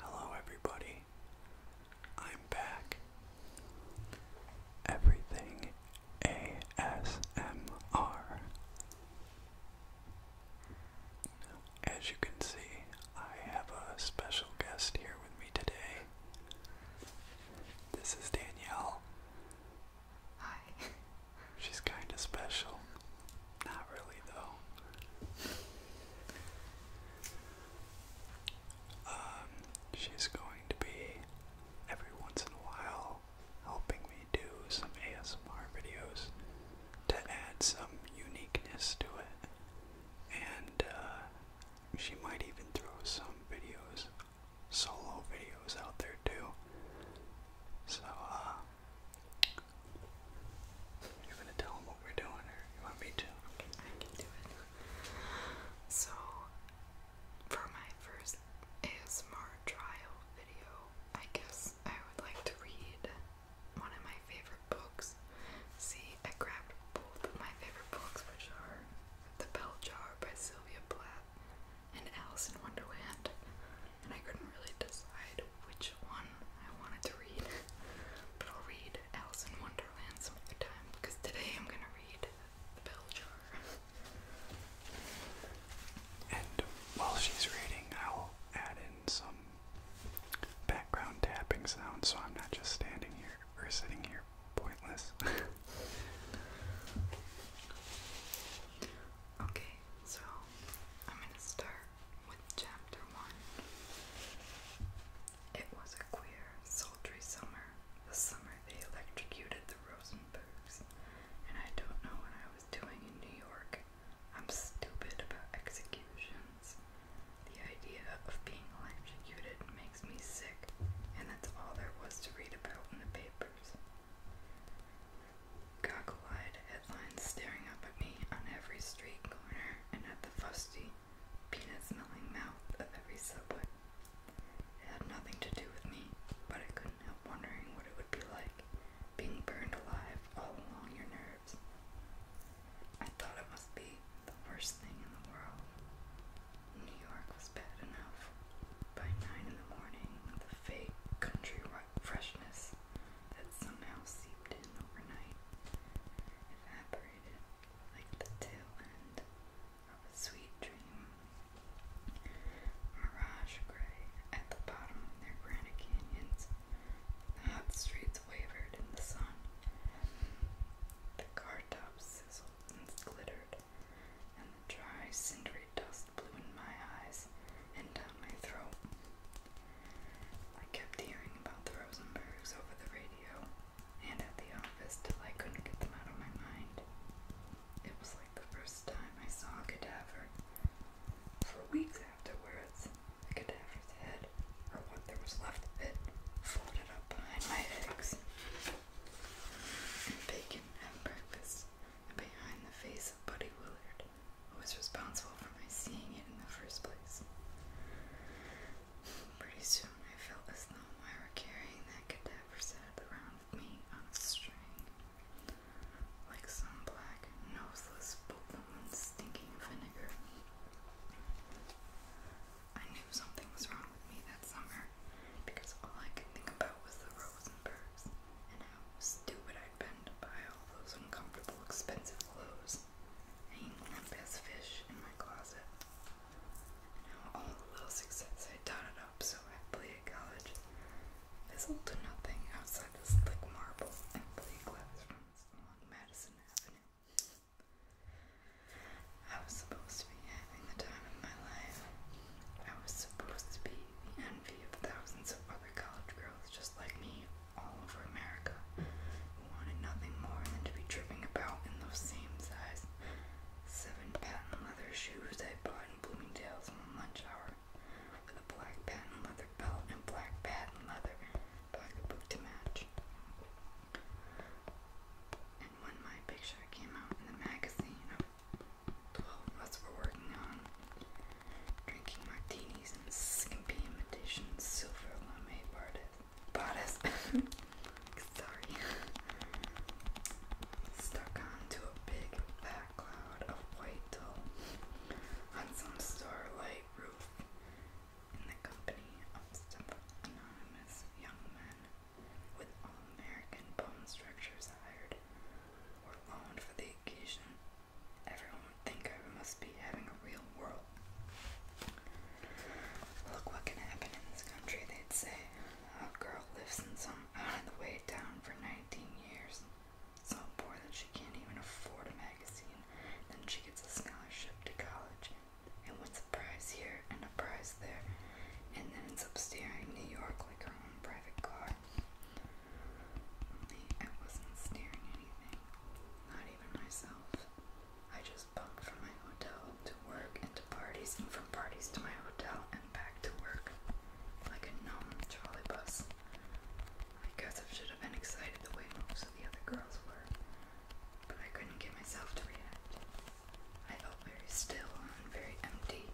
Hello, everybody. I'm back. Everything ASMR. As you can see, I have a special guest here with me today. This is Danielle. Hi. She's kind of special. Not really, though. Um, she's going to be every once in a while helping me do some ASMR videos to add some uniqueness to it. And uh, she might even throw some videos solo videos out there too. So, uh, you're gonna tell them what we're doing, or you want me to? Okay, I can do it. So, for my first ASMR trial video, I guess I would like to read one of my favorite books. See, I grabbed both of my favorite books, which are The Bell Jar by Sylvia Plath and Alice in Wonderland, and I couldn't really decide which one I wanted to read. But I'll read Alice in Wonderland some other time because today I'm gonna read The Bell Jar. And while she's reading, I'll add in some background tapping sounds so I'm not just standing here or sitting here pointless. Okay, so I'm going to start with chapter one. It was a queer, sultry summer, the summer they electrocuted the Rosenbergs, and I don't know what I was doing in New York. I'm stupid about executions. The idea of being electrocuted makes me sick, and that's all there was to read about in the papers. Cockle-eyed headlines staring up at me on every street corner and at the fusty, peanut-smelling mouth of every subway. It had nothing to do with me, but I couldn't help wondering what it would be like being burned alive all along your nerves. I thought it must be the worst thing in the world. New York was bad enough. By nine in the morning, the fake country freshness that somehow seeped in overnight evaporated like the tail end of a sweet dream. Mirage gray at the bottom of their granite canyons, the hot streets wavered in the sun. The car tops sizzled and glittered and the dry, cindery dust blew in my eyes and down my throat. I kept hearing about the Rosenbergs over the radio and at the office till I couldn't get them out of my mind. It was like the first time I saw a cadaver. For weeks afterwards, the cadaver's head, or what there was left of it, folded up behind my eggs and bacon at breakfast behind the face of Buddy Willard, who was responsible for my seeing it in the first place. Pretty soon I felt as though I carrying that cadaver set around me on a string, like some black, noseless bookworm stinking vinegar. I knew something was wrong with me that summer, because all I could think about was the Rosenbergs and how stupid I'd been to buy all those uncomfortable, expensive clothes hanging limp as fish in my closet. And how all the little success I dotted up so happily at college fizzled to nothing outside this slick marble and play classrooms along Madison Avenue. I was supposed to be having the time of my life, I was supposed to be the envy of thousands of other college girls just like me all over America who wanted nothing more than to be tripping about in those same size seven patent leather shoes I bought in Bloomingdale's one lunch hour with a black patent leather belt and black patent leather pocketbook to match. And when my picture came out in the magazine of 12, that's we're working on. Drinking martinis and skimpy imitations, silver lame bodice. Sorry. Stuck onto a big fat cloud of white dull on some starlight roof in the company of several anonymous young men with all American bone structures hired were owned for the occasion, everyone would think I must be having a real world. Look what can happen in this country, they'd say. A girl lives in some out of the way town for 19 years, so poor that she can't even afford a magazine. Then she gets a scholarship to college and wins a prize here and a prize there, and then ends up steering New York like her own private car. I wasn't staring anything, not even myself. I just bumped from my hotel to work and to parties, and from parties to my hotel and back to work. Like a gnome trolley bus. I guess I should have been excited the way most of the other girls were, but I couldn't get myself to react. I felt very still and very empty,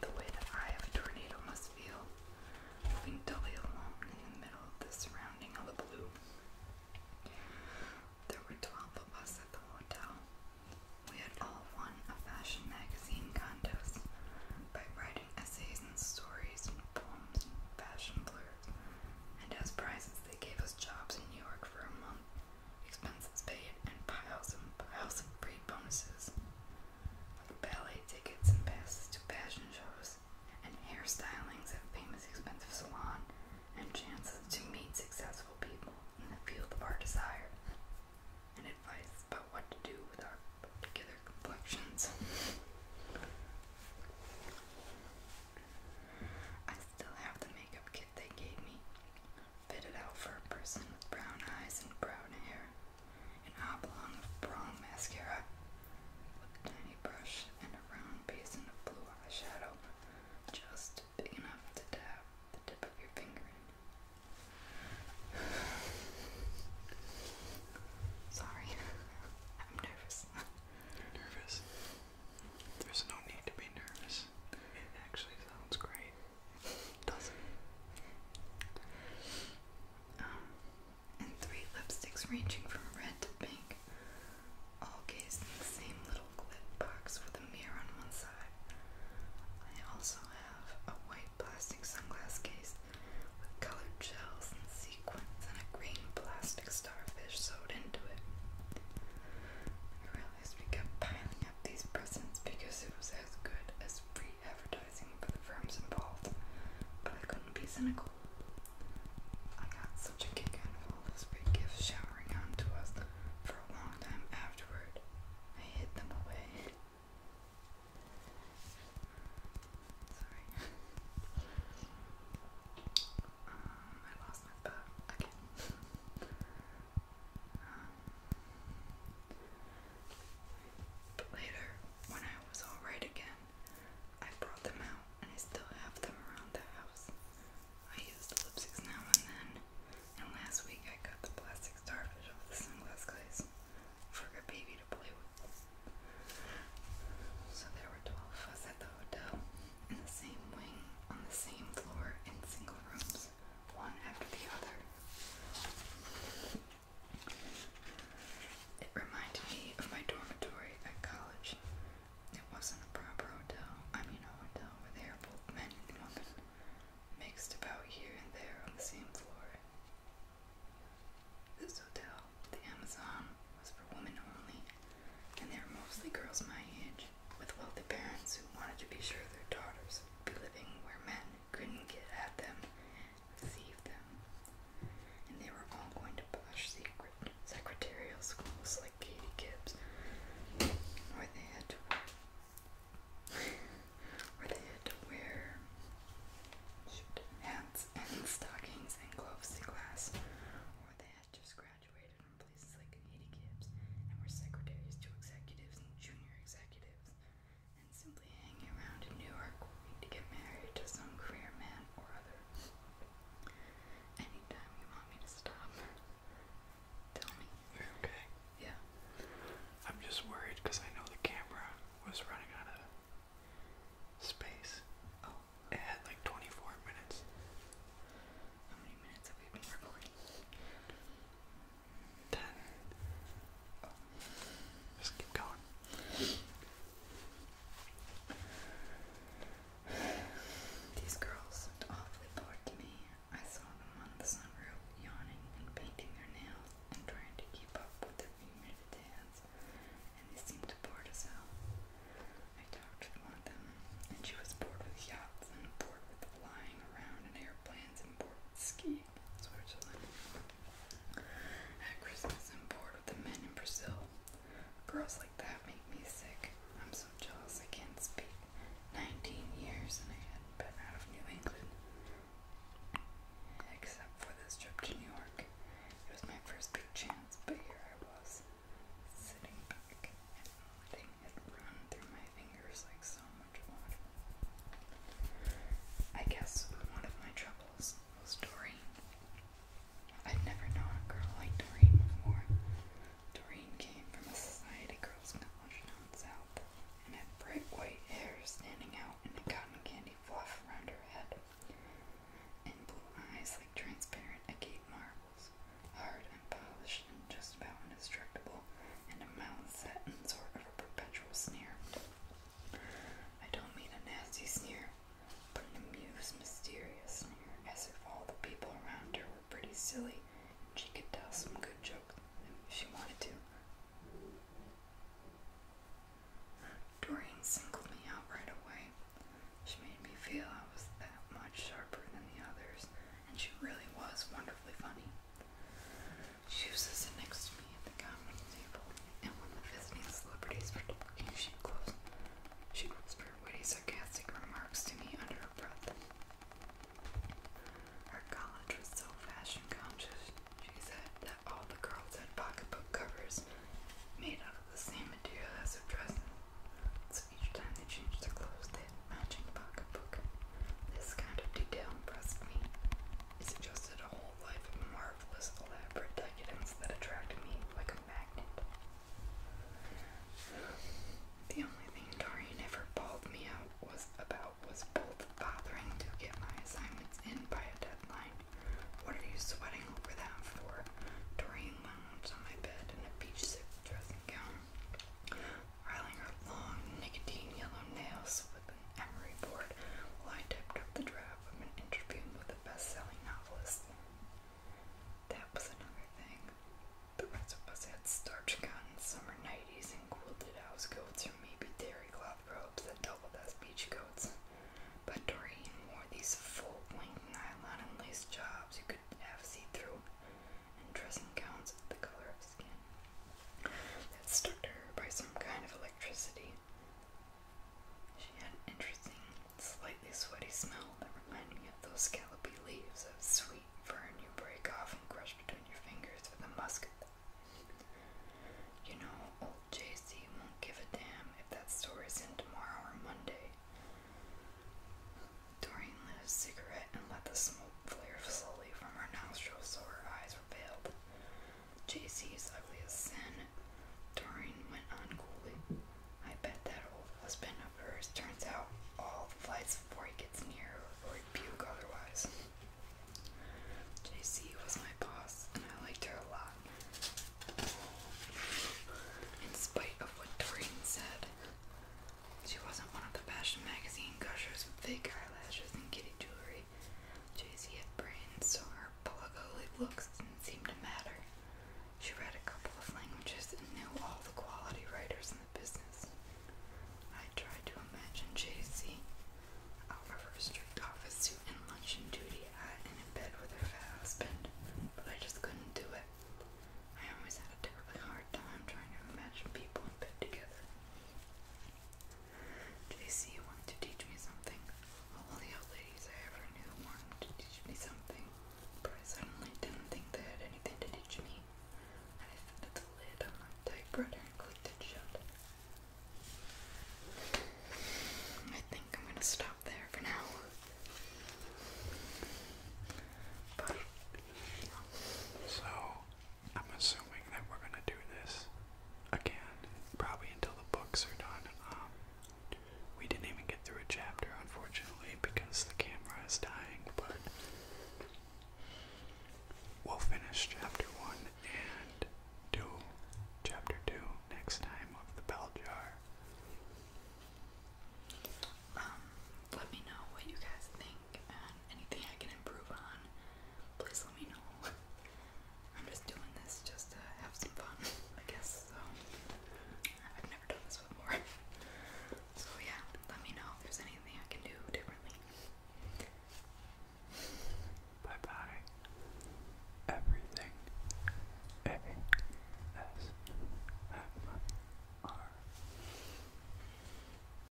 the way the eye of a tornado must feel, moving dully along in the middle of the surrounding of the blue. There were twelve of us at the hotel. We had all won a fashion magazine contest by writing essays and stories and poems and fashion blurs. And as prizes, they gave us jobs in New York for a month expenses paid, and piles and piles of free bonuses, like ballet tickets and passes to fashion shows, and hairstylings at famous expensive salon, and chances to meet successful people in the field of our desire, and advice about what to do with our particular complexions. I still have the makeup kit they gave me, fitted out for a person with brown eyes and brown hair, an oblong of brown mascara, with a tiny brush and a round basin of blue eyeshadow, just big enough to dab the tip of your finger in. Sorry, I'm nervous. You're nervous. There's no need to be nervous. It actually sounds great. Um, and three lipsticks ranging from red to pink, all cased in the same little glit box with a mirror on one side. I also have a white plastic sunglasses case with colored shells and sequins and a green plastic starfish sewed into it always began piling up these presents because it was as good as free advertising for the firms involved, but I couldn't be cynical. I got such a kick out of all those big gifts showering on to us for a long time afterward. I hid them away. Sorry. um, I lost my thought again. But um, later, when I was alright again, I brought them out and I still have them around the house. I use the lipsticks now and then, and last week I got the plastic starfish off the sunglass for a baby to play with. So there were 12 of us at the hotel in the same wing, on the same floor, in single rooms one after the other. It reminded me of my dormitory at college. It wasn't a proper hotel. I mean a hotel with air both men and women mixed about here and there on the same floor. This hotel, the Amazon, was for women only, and they were mostly girls my age with wealthy parents who wanted to be sure their daughters would be living where men couldn't get at them, deceive them. And they were all going to posh secret secretarial schools like Katie Gibbs, where they had to wear, where they had to wear shoot, hats and stockings and gloves to class, or they had just graduated and places like Haiti Gibbs, and were secretaries to executives and junior executives, and simply hanging around in New York waiting to get married to some career man or other. Anytime you want me to stop, tell me. You're okay. Yeah. I'm just worried because I know the camera was running out of space. Oh. It had like 24 minutes. How many minutes have we been recording? ten. just keep going. These girls looked awfully bored to me. I saw them on the sunroof, yawning and painting their nails and trying to keep up with their muted dance, and they seemed bored as hell. I talked with one of them, and she was bored with yachts and bored with flying around in airplanes import ski in Switzerland. At Christmas in port with the men in Brazil. Girls like that make me sick. I'm so jealous I can't speak. Nineteen years and I hadn't been out of New England. Except for this trip to New York. It was my first big chance, but here I was, sitting back and nothing had run through my fingers like so much water. I guess one of my troubles was Doreen. I've never known a girl like Doreen before. Doreen came from a society girls' college down south and had bright white hair standing out in a cotton candy fluff around her head and blue eyes like transparent agate marbles, hard and polished just about indestructible, and a mouth set in sort of a perpetual sneer. I don't mean a nasty sneer, but an amused, mysterious sneer, as if all the people around her were pretty silly, and she could tell some good jokes if she wanted to. Dorian singled me out right away. She made me feel I was that much sharper than the others, and she really was wonderfully funny. She was sitting next to me at the common table, and when the visiting celebrities were talking, she closed, she whispered witty, sarcastic remarks to me under her breath. Her college was so fashion conscious, she said, that all the girls had pocketbook covers made out of the same material as their dresses. So each time they changed their clothes, they matching pocketbook. This kind of detail impressed me. It suggested a whole life of marvelous, elaborate decadence that attracted me like a magnet. The only thing Darian ever bawled me out was about was both bothering to get my assignments in by a deadline. What are you sweating over that for? Dorian lounged on my bed in a beach suit dressing gown. Riling her long, nicotine yellow nails with an emery board while I typed up the draft of an interview with a best-selling novelist. That was another thing. The rest of us had starch cotton summer nighties and quilted house coats or maybe dairy cloth robes that doubled as beach coats. But Doreen wore these full-length nylon and lace jobs you could half see through and dressing gowns of the color of skin that stuck to her by some kind of electricity. She had an interesting, slightly sweaty smell that reminded me of those scallopy leaves of sweet fern you break off and crush between your fingers for the musket. You know, old JC won't give a damn if that story's in tomorrow or Monday. Doreen lit a cigarette and let the smoke flared slowly from her nostrils so her eyes were veiled. Jc JC's ugliest sin, Doreen went on coolly. I bet that old husband of hers turns out all the lights before he gets near or he'd otherwise. JC was my boss and I liked her a lot. In spite of what Doreen said, she wasn't one of the fashion magazine gushers with fake eyelashes and giddy jewelry. J.C. had brains, so her polygolic looks didn't seem to matter. She read a couple of languages and knew all the quality writers in the business. I tried to imagine J.C. z out of her strict office suit and luncheon duty hat and in bed with her fat husband, but I just couldn't do it. I always had a terribly hard time trying to imagine people in bed together. JC wanted to teach me something. All the old ladies I ever knew wanted to teach me something, but I suddenly didn't think they had anything to teach me. I lifted the lid on my typewriter and clicked it shut. I think I'm gonna stop there for now. But, So, I'm assuming that we're gonna do this again, probably until the books are done. Um, we didn't even get through a chapter, unfortunately, because the camera is dying, but we'll finish chapter one and do chapter two next time of the bell jar. Um, let me know what you guys think anything I can improve on, please let me know. I'm just doing this just to have some fun, I guess. So I've never done this before. So yeah, let me know if there's anything I can do differently. Bye bye. Everything. A S M R.